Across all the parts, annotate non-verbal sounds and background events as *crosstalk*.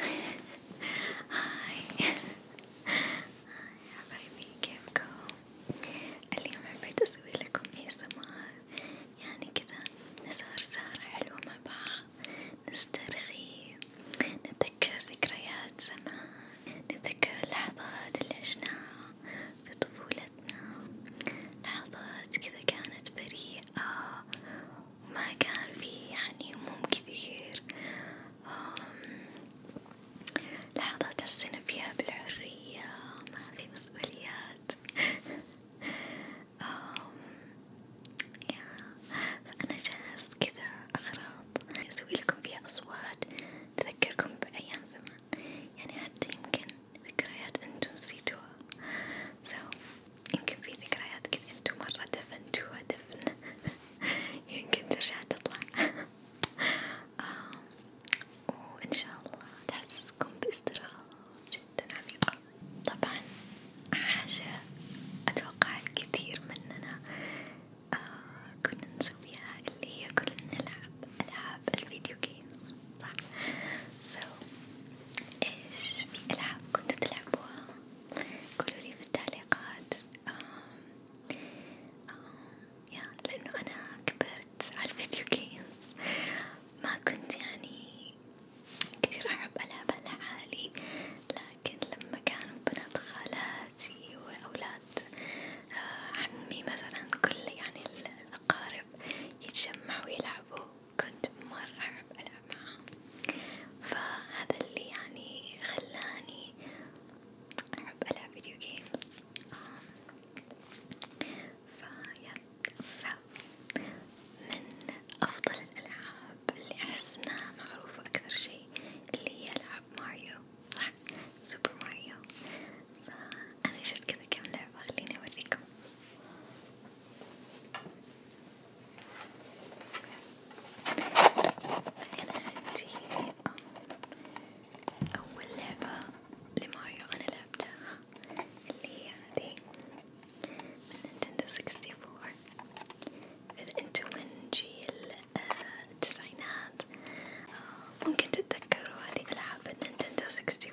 هاي هاي حبايبي كيفكم؟ اليوم حبيت اسوي لكم اي سمار يعني كذا نسهر سهرة حلوة مع بعض نسترخي نتذكر ذكريات زمان نتذكر اللحظات اللي عشناها في طفولتنا لحظات كذا كانت بريئة آه ما كان في يعني هموم كثير لحظات السنة فيها بالحرية ما في مسؤوليات فأنا جاهز كذا أغراض أسوي لكم فيها أصوات تذكركم بأيام زمان يعني حتى يمكن ذكريات انتو نسيتوها سو so, يمكن في ذكريات كذا انتو مرة دفنتوها دفن *laughs* يمكن ترجع تطلع *laughs* آه، وان شاء الله تحسسكم باسترخاء جدا عميقة طبعا حاجة اتوقع الكثير مننا آه كنا نسويها اللي هي كنا نلعب العاب الفيديو جيمز صح so إيش في ألعاب كنتوا تلعبوها؟ قولولي في التعليقات آم آم يا لأنه أنا كبرت على الفيديو جيمز ما كنت يعني كثير أحب ألعبها لحالي لكن لما كانوا بنات خالاتي وأولاد آه، عمي مثلا كل يعني الأقارب يتجمعوا ويلعبوا كنت مرة أحب ألعب معها، فهذا اللي يعني خلاني أحب ألعب فيديو جيمز، فيا من أفضل الألعاب اللي أحس إنها معروفة أكثر شي اللي هي ألعاب ماريو صح؟ سوبر ماريو، فأنا شفت كذا كم لعبة خليني أوريكم. أنا عندي أول لعبة لماريو أنا لعبتها اللي هي هذي من نينتندو 64 إذا أنتم من جيل التسعينات ممكن تتذكروا هذه ألعاب نينتندو 64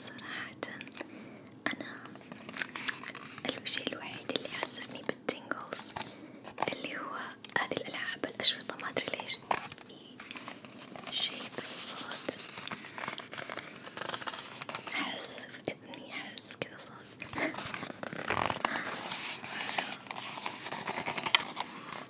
صراحة أنا الشيء الوحيد اللي حسسني بالتينجلز اللي هو هذه الألعاب الأشرطة ما أدري ليش شيء بالصوت أحس في إذني أحس كذا صوت *laughs*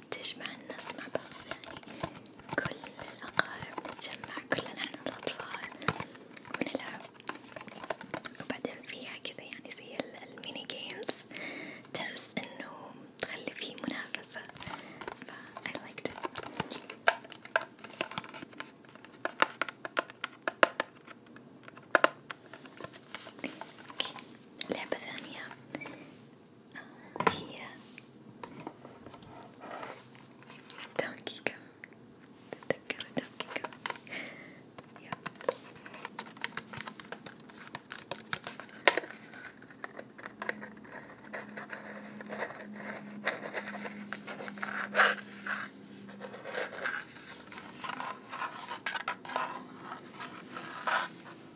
تجمع الناس مع بعض يعني كل الأقارب نتجمع كلنا نحن الأطفال ونلعب وبعدين فيها كذا يعني زي الميني جيمز تحس إنه تخلي فيه منافسة ف I liked it okay. لعبة ثانية here. Donkey Kong. The Donkey Kong. yeah.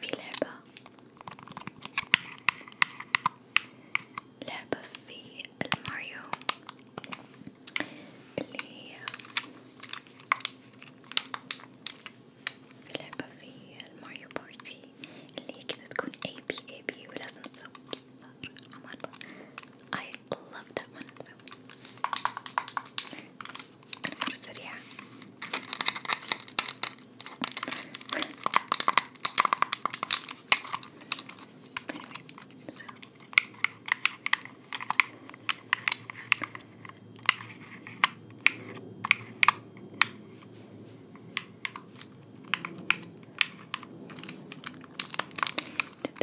في لعبة لعبة في الماريو اللي هي لعبة في الماريو بارتي اللي هي كده تكون A B A B ولازم تصب صار عمر I love that one. So i just sit here. so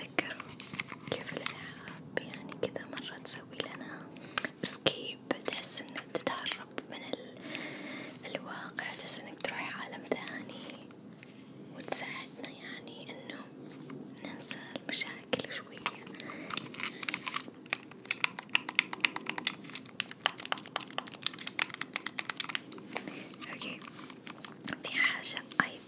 أتذكر كيف الألعاب يعني كذا مرة تسوي لنا اسكيب تحس إنه تتهرب من ال... الواقع تحس إنك تروح عالم ثاني وتساعدنا يعني إنه ننسى المشاكل شوية أوكي في حاجة أيضا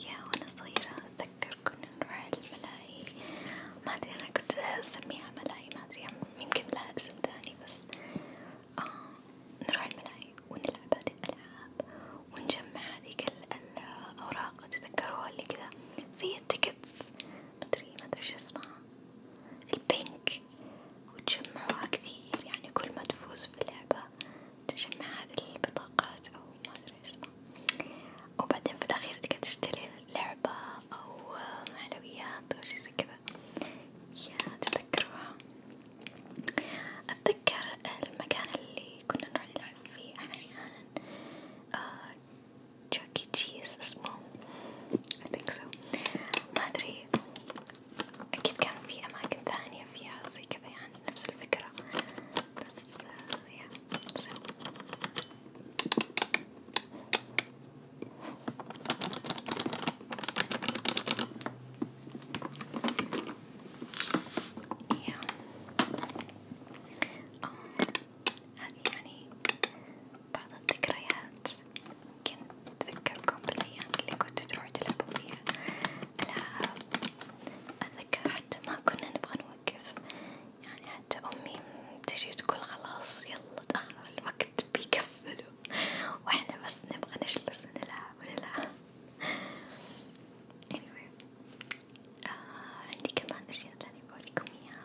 يا وانا صغيرة اتذكر كنا نروح الملاهي ما ادري انا كنت اسميها ملاهي ما ادري يمكن لها اسم ثاني بس آه نروح الملاهي ونلعب هذه الالعاب ونجمع هذيك الاوراق تتذكروها اللي كذا زي التيكتس ما ادري ما ادري شو اسمها البينك وتجمعوها كثير يعني كل ما تفوز في اللعبة تجمع هذه البطاقات أو ما أدري إيش وبعدين في الأخير تقدر تشتري لعبة أو حلويات أو شي زي كذا يا تذكروها أتذكر المكان اللي كنا نروح نلعب فيه أحيانا تشاكي آه، تشيز e. اسمه I think so ما أدري أكيد كان في أماكن ثانية فيها زي كذا يعني نفس الفكرة بس آه، يا so. yeah. um. هذه يعني بعض الذكريات يمكن أتذكركم بالأيام اللي كنت تروحوا تلعبوا فيها ألعاب، أتذكر حتى ما كنا نبغى نوقف، يعني حتى أمي تجي تقول خلاص يلا تأخر الوقت بيكفلوا، وإحنا بس نبغى نجلس ونلعب ونلعب، anyway آه عندي كمان أشياء تانية بوريكم إياها.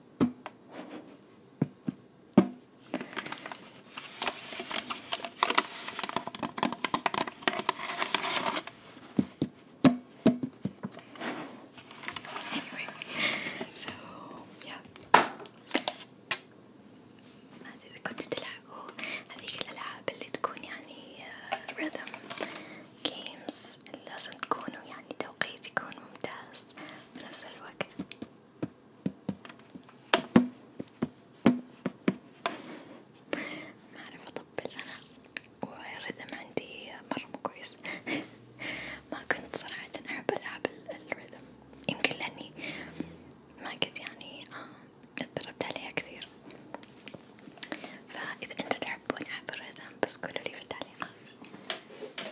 Anyway, so yeah إذا كنتوا تلعبوا هذيك الألعاب اللي تكون يعني آه، rhythm games لازم تكونوا يعني توقيت يكون ممتاز بنفس الوقت ما أعرف أطبل أنا والرذم عندي مرة مو كويس *laughs* ما كنت صراحة أحب ألعب الرذم يمكن لأني ما قد يعني آه، اتدربت عليها كثير فإذا أنتوا تحبون ألعب الرذم بس قولولي في التعليقات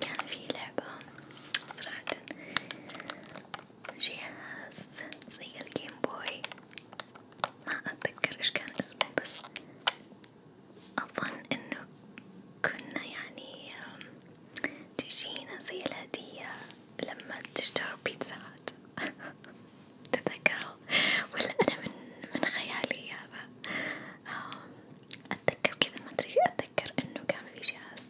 كان في لعبة صراحة جهاز زي الجيم بوي ما أتذكر إيش كان اسمه بس أظن إنه كنا يعني تجينا زي الهدية لما تشتروا بيتزاهات *laughs* تتذكره ولا أنا من من خيالي هذا أتذكر كذا ما أدري أتذكر إنه كان في جهاز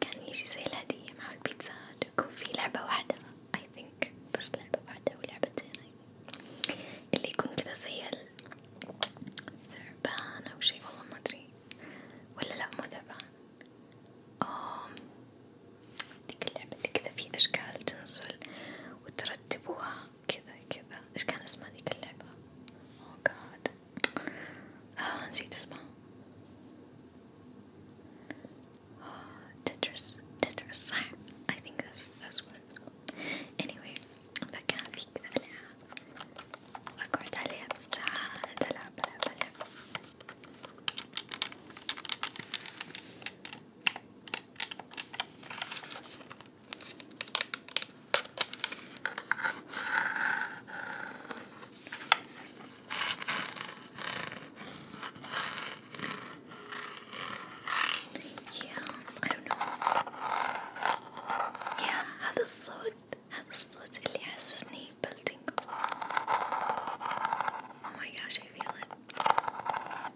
كان يجي زي الهدية مع البيتزات ويكون في لعبة واحدة I think بس لعبة واحدة ولعبتين اللي يكون كذا زي الثعبان أو شي والله ما أدري ولا لأ مو ثعبان ديك اللعبة اللي كذا في أشكال تنزل وترتبوها كذا كذا إيش كان اسمها ديك اللعبة؟ أوه oh جاد آه نسيت اسمها تترس آه، تترس صح I think that's, that's what it's called anyway فكان في كذا ألعاب أقعد عليها بالساعات ألعب ألعب ألعب Yeah, I don't know. Yeah, هذا الصوت هذا الصوت اللي حسسني بالتنقل. Oh my gosh, I feel it.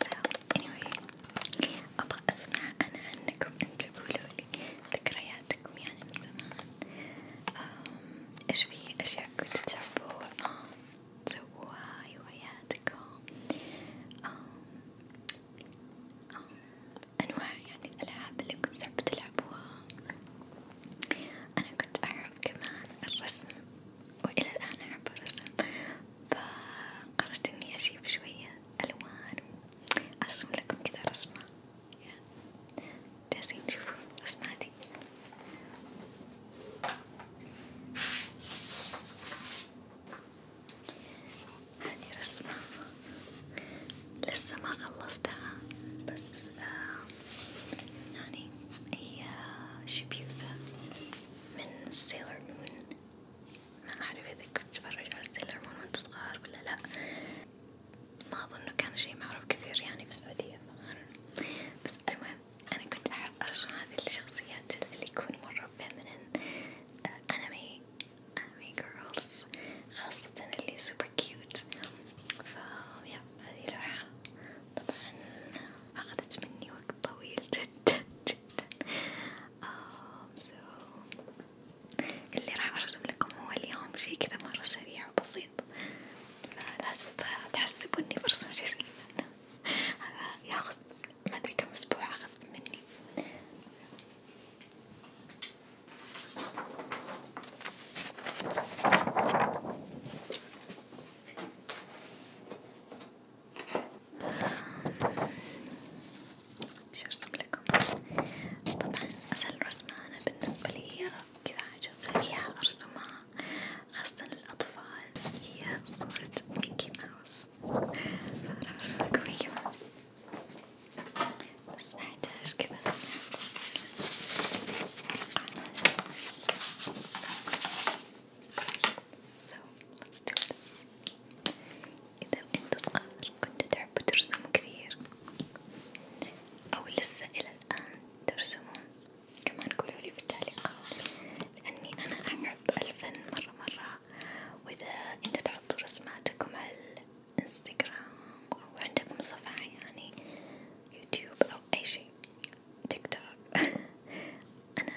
so anyway أبغى أسمع أنا عنكم أنتوا قولولي ذكرياتكم يعني من زمان إيش في أشياء كنتوا تحبوها تسووها هواياتكم أنواع يعني الألعاب اللي كنتوا تحبوا تلعبوها أنا كنت أحب كمان الرسم وإلى الآن أحب الرسم فقررت إني أجيب شوية ألوان وأرسم لكم كذا رسمة جالسين تشوفوا رسماتي هذه رسمة لسه ما خلصتها بس آه يعني هي شبيوزة من سيلر مون ما أعرف إذا كنت تتفرج على سيلر مون وأنت صغار ولا لأ، ما أظنه كان شي معروف كثير يعني في السعودية، بس المهم أنا كنت أحب أرسم هذه الشخصيات اللي يكون مرة feminine أنمي آه، أنمي girls خاصة اللي super cute، فا يا هذه لوحة طبعا أخذت مني وقت طويل جدا جدا um, so اللي راح ارسم لكم هو اليوم شي كذا مرة سريع وبسيط فلازم تحسبوا اني برسم شي هذا ياخذ ما ادري كم اسبوع اخذت مني ايش ارسم لكم طبعا اسهل رسمة انا بالنسبة لي كذا حاجة سريعة ارسمها خاصة للأطفال هي صورة ميكي ماوس راح ارسم لكم ميكي ماوس بس احتاج كذا so let's do this إذا أنتوا صغار كنتوا تحبوا ترسموا كثير أو لسه إلى الآن ترسمون كمان قولولي بالتعليقات لأني أنا أحب الفن مرة مرة وإذا أنتوا تحطوا رسماتكم على الانستغرام أو عندكم صفحة يعني يوتيوب أو أي شي تيك توك *laughs* أنا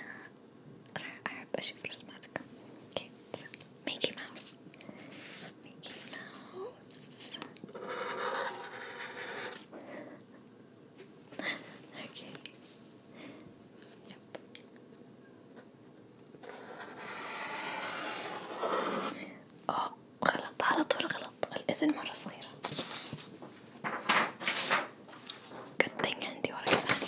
راح أحب أشوف رسماتك اوكي ميكي ماوس ميكي ماوس اوكي أوه غلط على طول غلط الإذن مرة صغيرة good thing عندي ورق ثاني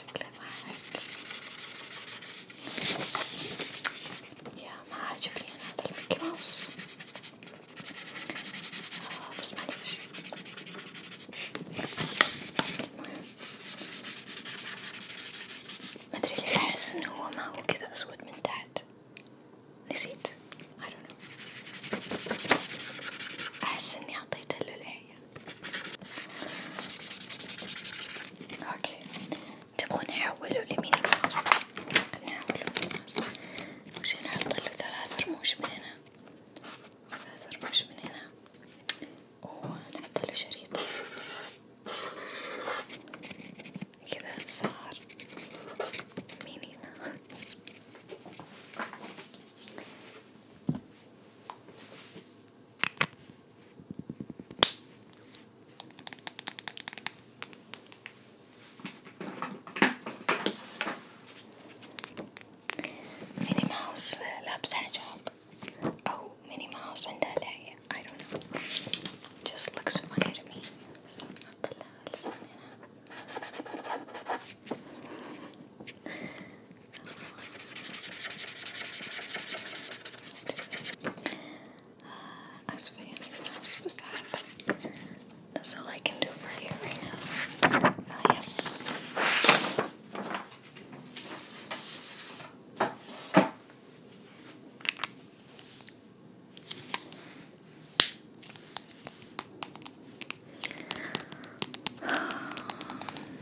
شكله ضحك يا ما عاجبني أنا هذا الميكي ماوس بس معليش المهم مدري ليه أحس إنه هو ما هو كذا أسود من تحت نسيت I don't know أحس إني أعطيته اللولاية اوكي تبغون نحوله لميني ماوس نحوله ميني ماوس وش نحط له ثلاث رموش من هنا ثلاث رموش من هنا ونحط له شريط كذا صار ميني ماوس Minnie Mouse loves that job. Oh, Minnie Mouse and Dahlia. I don't know. Just looks funny to me. So not the uh, as for anything else was that, that's all I can do for you right now. Oh, yeah. *sighs*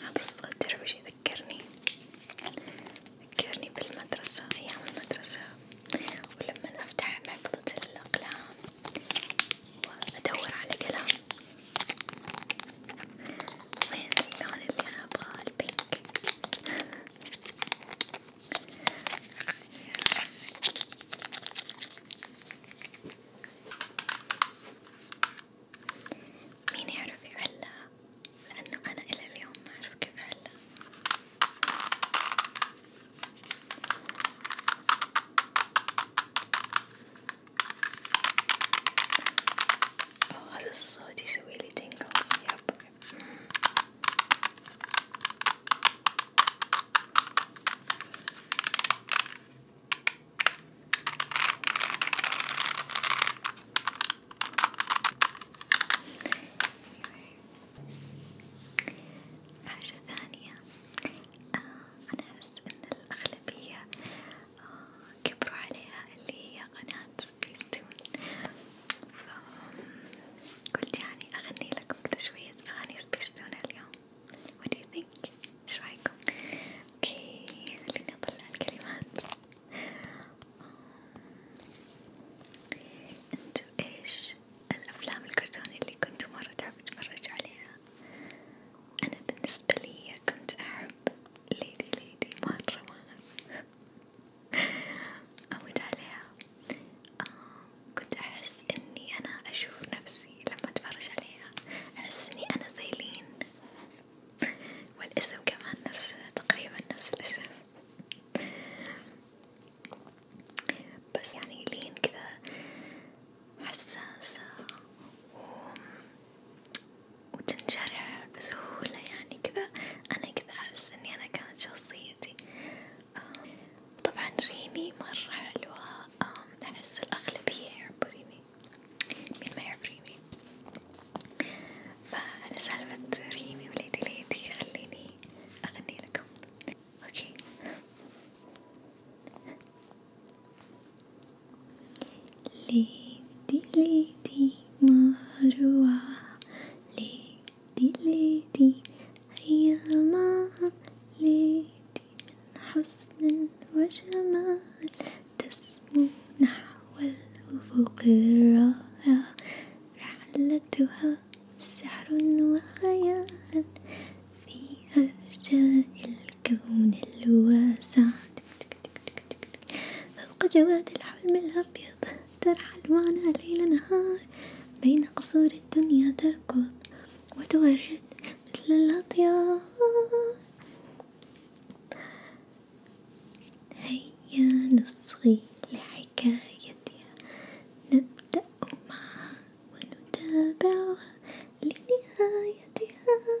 هذا الصوت تعرفوا شي يذكرني يذكرني بالمدرسة أيام المدرسة ولما أفتح محفظة الأقلام وأدور على قلم وين اللون اللي أنا أبغاه البينك مين يعرف يعلق لأنه أنا إلى اليوم ما أعرف كيف أعلق أوه هذا الصوت يسويلي تنقص يب حاجة ثانية آه أنا أحس إن الأغلبية آه كبروا عليها اللي هي قناة سبيستون فقلت يعني أغني لكم كذا شوية أغاني سبيستون اليوم What do you think؟ إيش رأيكم؟ اوكي خليني أطلع الكلمات انتو ايش الأفلام الكرتونية اللي كنتوا مرة تحبوا تتفرجوا عليها؟ أنا بالنسبة لي كنت أحب ليدي ليدي مرة مرة أموت عليها آه كنت أحس إني أنا أشوف نفسي لما أتفرج عليها أحس إني أنا زي لين والاسم كمان نفس تقريبا نفس الاسم بس يعني لين كذا حساسة وتنشرح بسهولة يعني كذا أنا كذا أحس إني أنا كانت شخصيتي طبعا ريمي مرة حلوة أحس الأغلبية يحبوا ريمي مين ما يحب ريمي فعلى سالفة ريمي وليدي ليدي خليني أغني لكم أوكي ليدي ليدي مروعة ليدي ليدي هيا معا ليدي من حسن وجمال تسمو نحو الأفق الرائع رحلتها سحر وخيال في أرجاء الكون الواسع فوق جواد الحلم الأبيض ترحل معنا ليل نهار بين قصور الدنيا تركض وتورد مثل الأطيار هيا نصغي لحكايتها نبدأ معها ونتابعها لنهايتها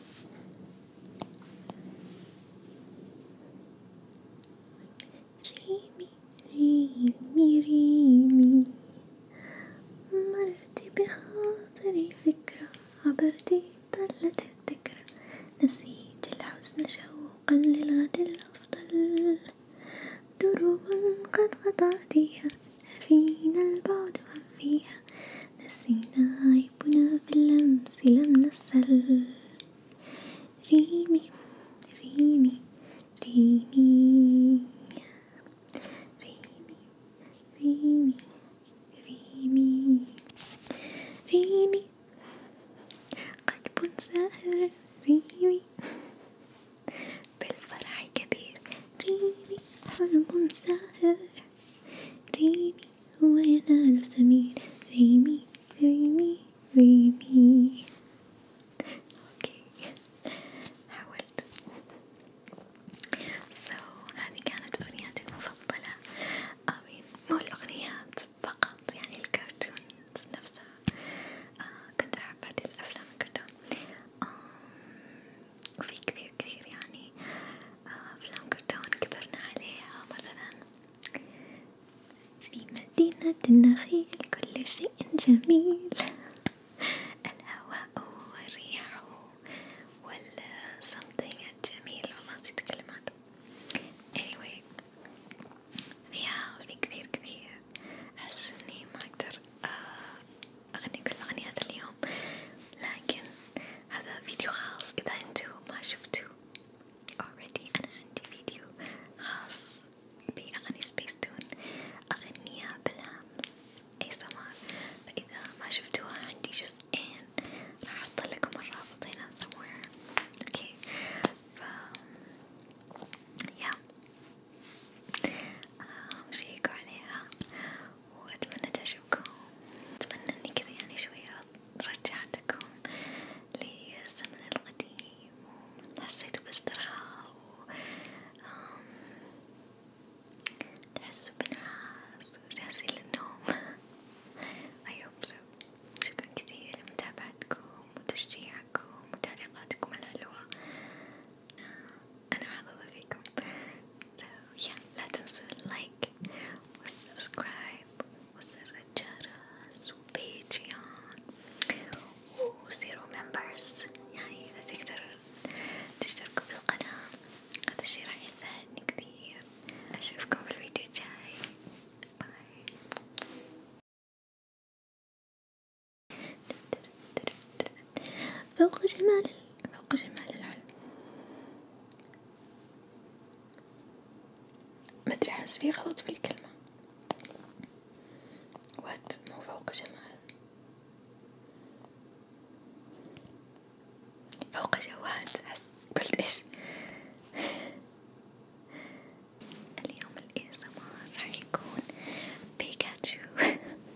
ريمي ريمي ريمي مرتي بخاطري فكرة عبرتي طلت الذكرى نسيت الحزن شوقا للغد الأفضل دروب قد قطعتيها فينا البعد عن فيها نسينا عيبنا باللمس لم نسل ريمي ريمي ريمي ريمي ريمي ريمي قلب سائر ريمي بالفرح كبير ريمي حلم سائر ريمي هو ينال سمير ريمي ريمي ريمي اوكي حاولت so هذه كانت اغنياتي المفضلة آمين آه، مو الاغنيات فقط يعني الكرتونز نفسها آه كنت احب هذه الافلام الكرتون وفي كثير كثير يعني أفلام آه، كرتون كبرنا عليها مثلا في مدينة النخيل كل شيء جميل الهواء والرياح والصمتين الجميل والله نسيت كلمات anyway فيها في كثير كثير أحس إني ما أقدر أغني كل أغنيات اليوم لكن هذا فيديو خاص إذا أنتو ما شفتوا already أنا عندي فيديو خاص بأغني سبيس تون أغنيها بالهمس أي سمار فإذا ما شفتوها عندي جزئين راح أحط لكم الرابط هنا somewhere اوكي ف يا yeah. آه، شيكوا عليها وأتمنى تعجبكم أتمنى إني كذا يعني شوية رجعتكم للزمن القديم وحسيتوا باسترخاء تحسوا بنعاس وجاهزين للنوم *laughs* I hope so شكرا كثير لمتابعتكم وتشجيعكم وتعليقاتكم الحلوة أنا حابة فيكم so yeah لا تنسوا اللايك والسبسكرايب وزر الجرس وبيتريون وصيروا ممبرز يعني إذا تقدروا تشتركوا بالقناة هذا الشي راح يساعدني كثير أشوفكم في الفيديو الجاي باي فوق جمال فوق جمال العلم مدري أحس في غلط في الكلمة وات مو فوق جمال فوق جواد أحس قلت إيش *laughs* اليوم الإسمار راح يكون بيكاتشو *laughs*